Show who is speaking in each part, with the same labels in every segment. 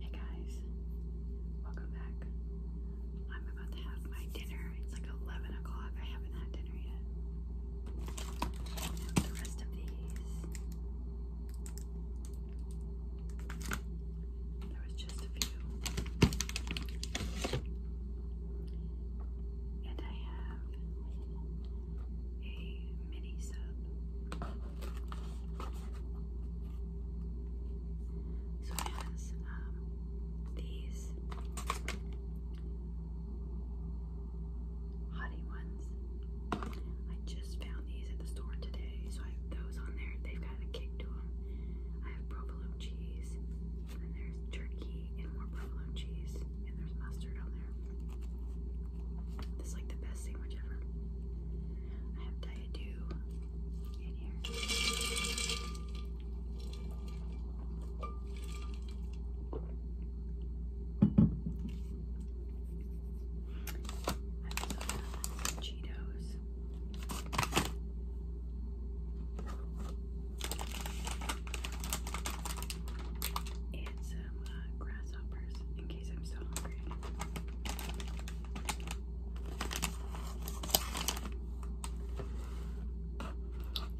Speaker 1: Hey guys, welcome back. I'm about to have my dinner. It's like 11 o'clock. I haven't had dinner yet. the rest of these. There was just a few. And I have a mini sub. So it has um, these hottie ones. I just found these at the store today, so I have those on there. They've got a kick to them. I have provolone cheese, and there's turkey and more provolone cheese and there's mustard on there. This is like the best sandwich ever. I have Diet Dew in here. I also have Cheetos. It's uh, grasshoppers in case I'm so hungry.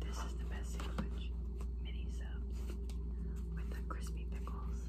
Speaker 1: This is the best sandwich. Mini subs with the crispy pickles.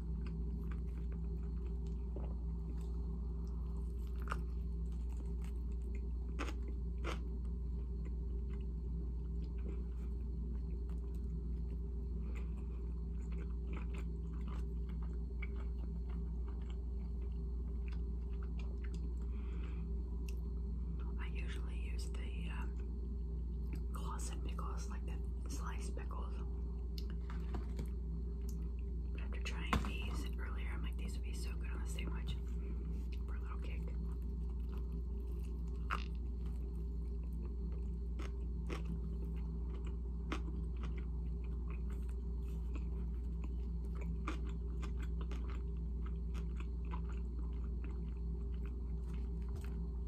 Speaker 1: I usually use the um, pickles, like the sliced pickles, after trying these earlier, I'm like, these would be so good on a sandwich for a little cake.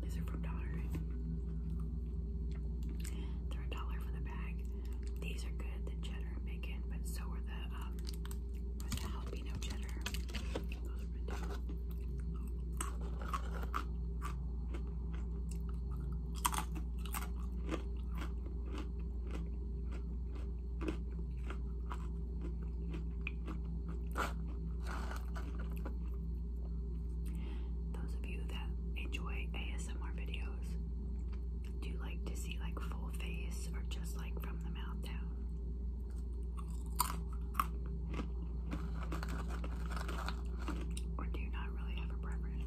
Speaker 1: These are from Dollar. They're a dollar for the bag. These are good, the cheddar bacon, but so are the um the jalapeno cheddar. Those of you that enjoy ASMR videos, do you like to see like full face or just like from the mouth down? Or do you not really have a preference?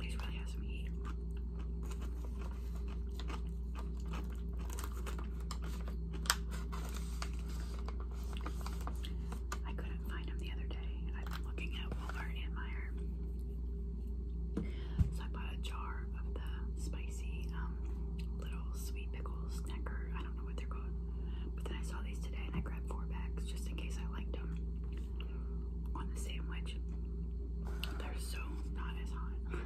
Speaker 1: These really have some heat. I couldn't find them the other day. I've been looking at Walmart and Meyer. So I bought a jar of the spicy um, little sweet pickles snacker. I don't know what they're called. But then I saw these today and I grabbed four packs just in case I liked them on the sandwich. They're so not as hot.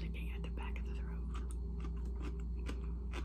Speaker 1: Looking at the back of the throat.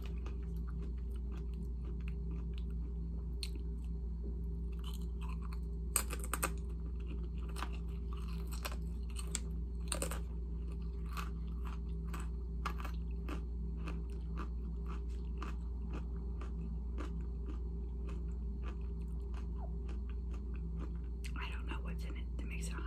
Speaker 1: I don't know what's in it that makes it hot.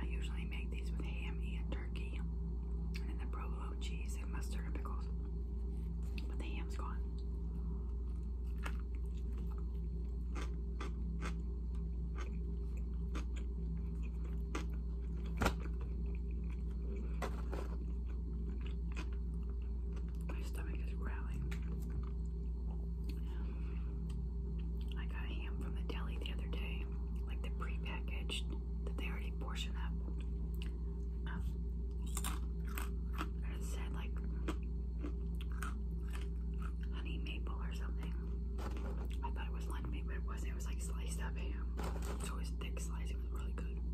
Speaker 1: I usually make these with ham and turkey, and then provolone cheese and mustard and pickles. But the ham's gone. My stomach is growling. I got ham from the deli the other day, like the prepackaged that they already portion up. Uh, it said like honey maple or something. I thought it was lunch but it was It was like sliced up ham. it was thick slice. It was really good.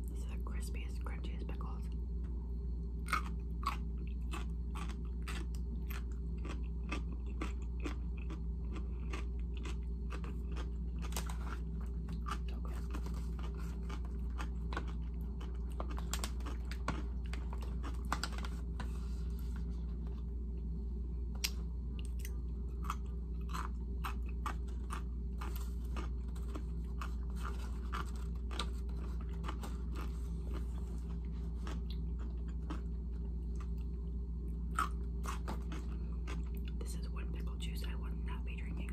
Speaker 1: This is the crispiest, crunchiest pickles. So good. This is one pickle juice I will not be drinking.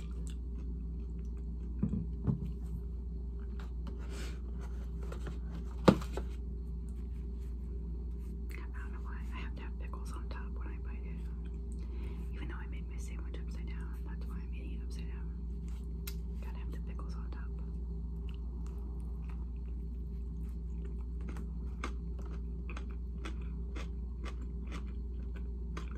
Speaker 1: I don't know why I have to have pickles on top when I bite it. Even though I made my sandwich upside down, that's why I'm eating it upside down. Gotta have the pickles on top.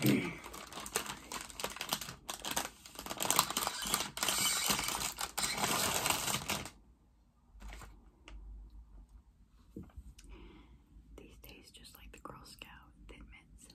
Speaker 1: These taste just like the Girl Scout Thin Mints.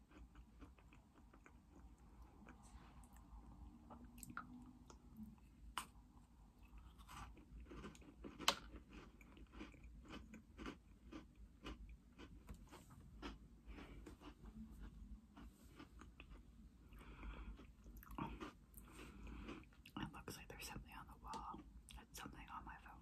Speaker 1: It looks like there's something on the wall. It's something on my phone.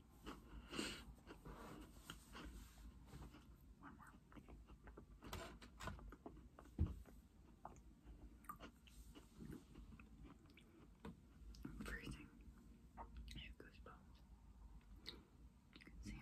Speaker 1: One I'm freezing. I have goosebumps. You see them.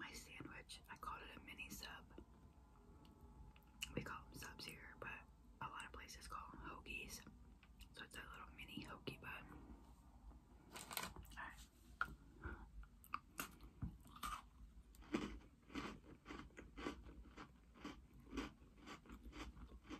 Speaker 1: My sandwich, I called it a mini sub. We call them subs here, but a lot of places call them hoagies. So it's a little mini hoagie bun.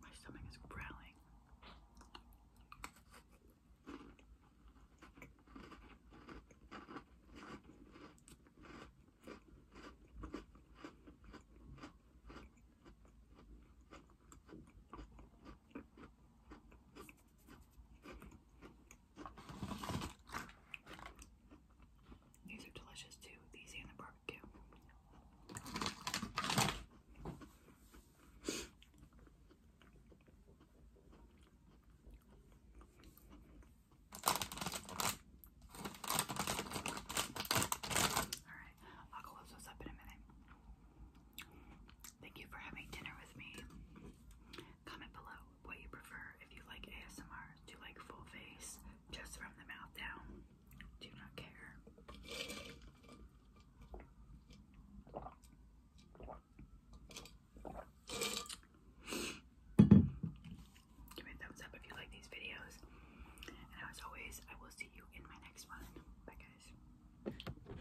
Speaker 1: My stomach is growling. These are delicious too, these and the barbecue. Alright, I'll close this up in a minute. Thank you for having dinner with me. Comment below what you prefer. If you like ASMR, do like full face, just from the mouth down? Do not care. Give me a thumbs up if you like these videos. And as always, I will see you in my next one. Bye, guys.